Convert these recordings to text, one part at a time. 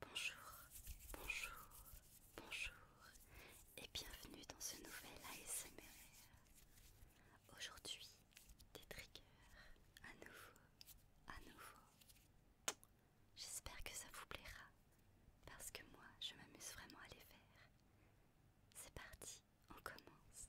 Bonjour, bonjour, bonjour et bienvenue dans ce nouvel ASMR. Aujourd'hui, des triggers à nouveau, à nouveau. J'espère que ça vous plaira parce que moi je m'amuse vraiment à les faire. C'est parti, on commence.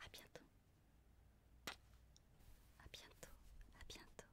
À bientôt. À bientôt. À bientôt.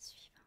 Suivant.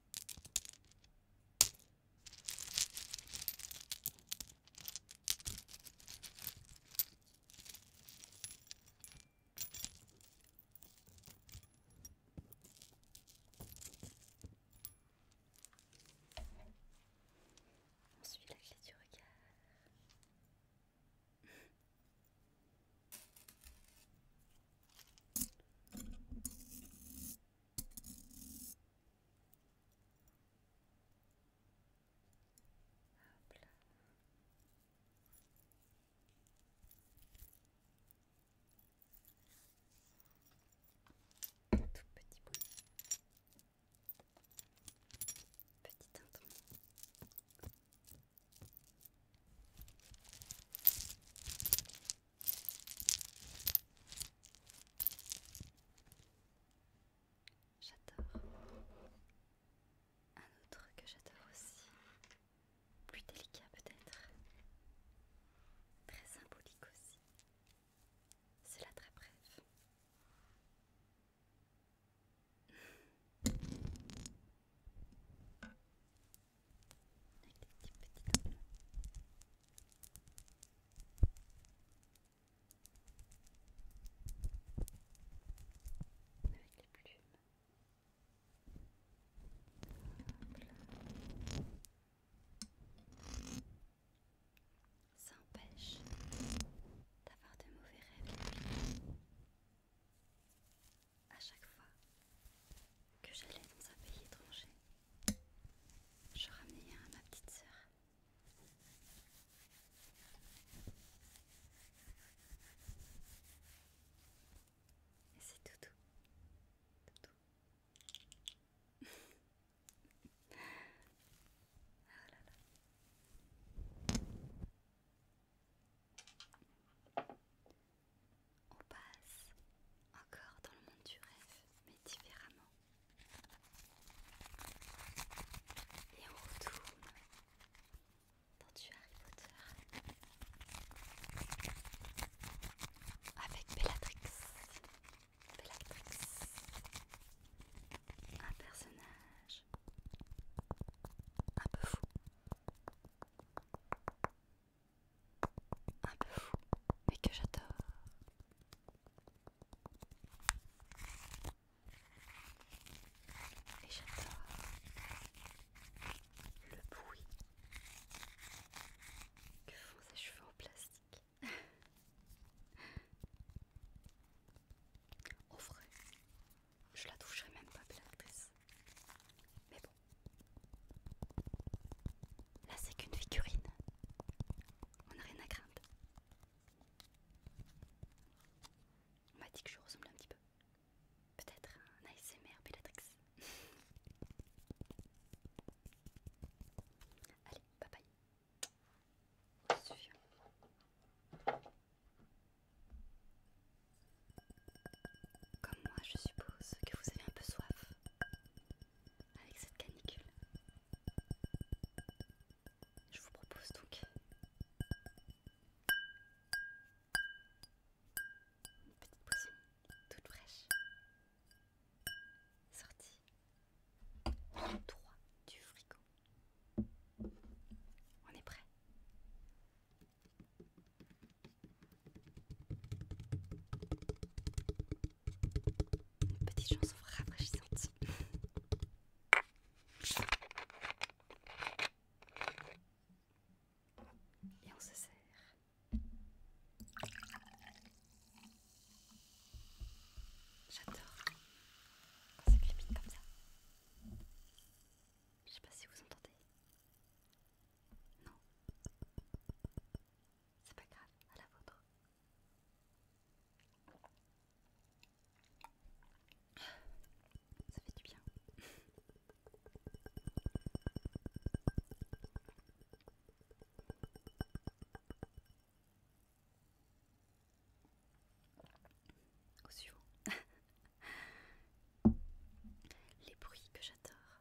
On suit la clé du regard. Hop là. Tout petit bout. Petit teinton. J'adore. Un autre que j'adore aussi. Plus délicat peut-être. Très symbolique aussi. C'est la très brève. Avec des petites petits Avec les plumes. Ça empêche d'avoir de mauvais rêves à chaque fois que j'allais dans un pays étranger, je ramenais à ma petite sœur. Et c'est Tout tout On passe encore dans le monde du rêve, mais différemment. Et on retourne dans du Harry Potter avec Bellatrix. Bellatrix, un personnage un peu fou un peu fou, mais que j'adore. Et j'adore le bruit que font ces cheveux en plastique. Au vrai, je la toucherai même pas, Mais bon, Là, c'est qu'une figurine. On n'a rien à craindre. On m'a dit que je ressemble un petit peu. Peut-être un ASMR Bellatrix. Allez, bye bye. Comme moi, je suppose que vous avez un peu soif avec cette canicule. Je vous propose donc une petite boisson toute fraîche sortie en 3 du frigo. On est prêt petites petite chance Et on se serre J'adore quand ça comme ça. Je sais pas si vous entendez. Non. C'est pas grave, à la vôtre. Ça fait du bien. Au suivant. Les bruits que j'adore.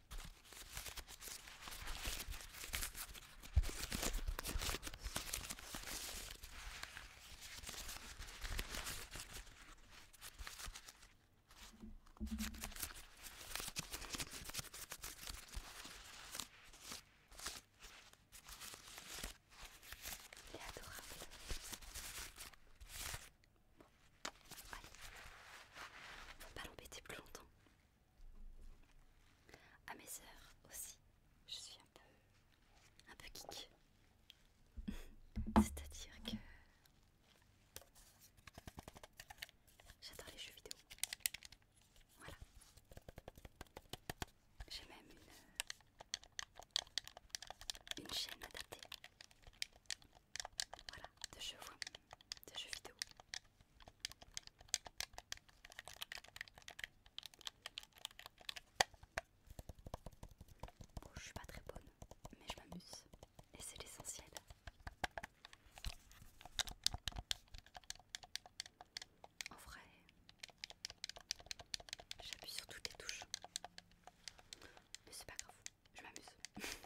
Il est adorable. va pas l'embêter plus longtemps. À mes heures aussi, je suis un peu, un peu geek. C'est-à-dire que j'adore les jeux vidéo. Voilà. J'ai même une, chaîne adaptée. Voilà, de jeux vidéo je suis pas très bonne, mais je m'amuse et c'est l'essentiel. En vrai, j'appuie sur toutes les touches, mais c'est pas grave, je m'amuse.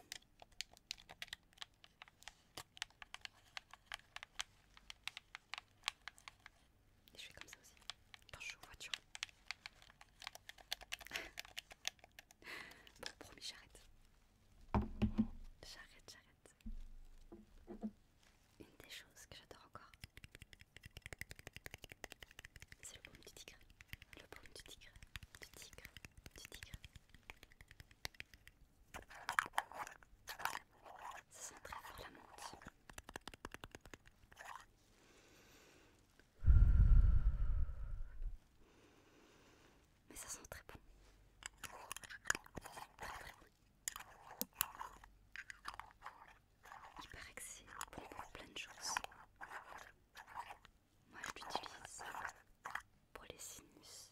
Et je fais comme ça aussi quand je suis en voiture. bon, promis, j'arrête. J'arrête, j'arrête. Une des choses que j'adore encore, c'est le baume du tigre. Le baume du tigre, du tigre, du tigre. Ça sent très fort la menthe. Mais ça sent très bon. Très très bon. que c'est bon pour plein de choses. Moi je l'utilise pour les sinus.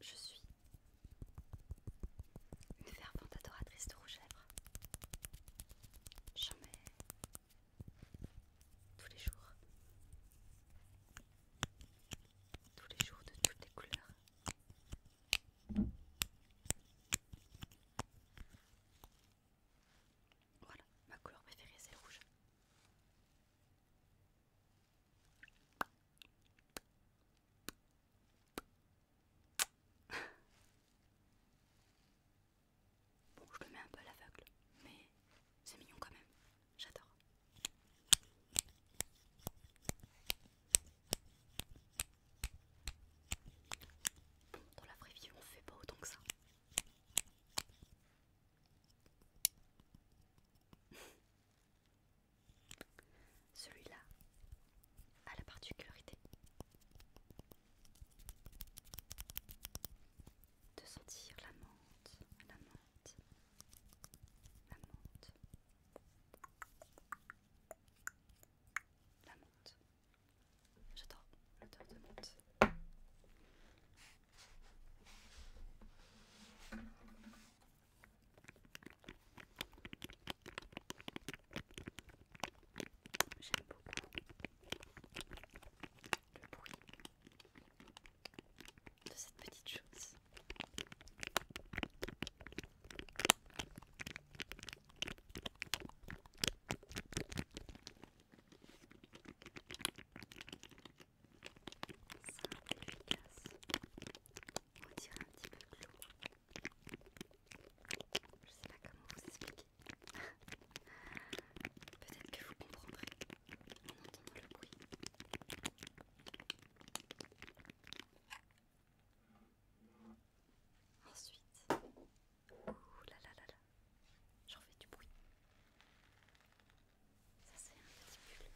Je suis une fervente adoratrice de rouge jamais, tous les jours. Tous les jours de toutes les couleurs. Voilà, ma couleur préférée c'est le rouge. bon, je le mets un peu à l'aveugle, mais c'est mignon quand même. J'adore. Pour la vraie vie, on fait pas autant que ça. Celui-là a la particularité de sentir la menthe, la menthe, la la J'adore l'odeur de menthe. J'aime beaucoup le bruit de cette petite chose. Ça et efficace. On dirait un petit peu l'eau Je sais pas comment vous expliquer. Peut-être que vous comprendrez en entendant le bruit. Ensuite, Ouh là là là là, j'en fais du bruit. Ça c'est un petit pull.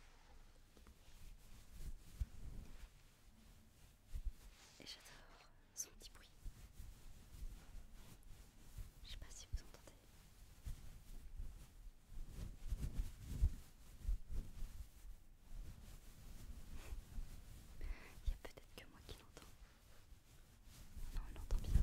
Et j'adore son petit bruit. Je sais pas si vous entendez. Il y a peut-être que moi qui l'entends. Non, on entend bien.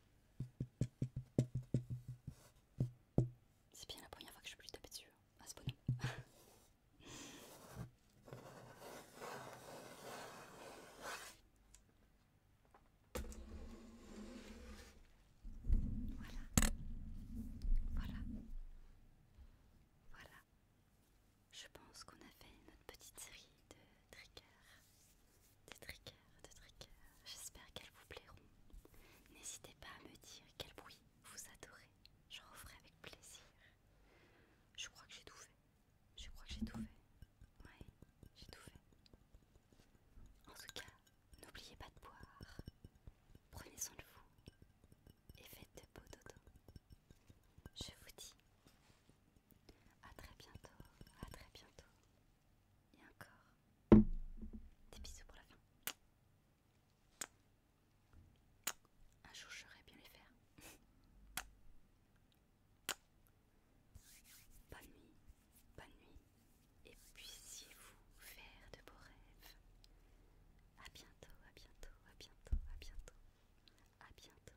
C'est bien la première fois que je peux plus taper dessus à hein. ah, ce voilà, voilà, voilà. Je pense qu'on a fait notre petite série de triggers des triggers, des triggers. J'espère qu'elles vous plairont. N'hésitez pas à me dire quel bruit vous adorez. Je referai avec plaisir. Je crois que j'ai tout fait. Je crois que j'ai tout fait. Ouais, j'ai tout fait. En tout cas, n'oubliez pas de boire. Prenez soin de vous et faites de beaux dodo. Je vous dis à très bientôt, à très bientôt. Et encore des bisous pour la fin. Un jour, je bien les faire. Bonne nuit, bonne nuit, et puissiez-vous faire de beaux rêves. À bientôt, à bientôt, à bientôt, à bientôt, à bientôt.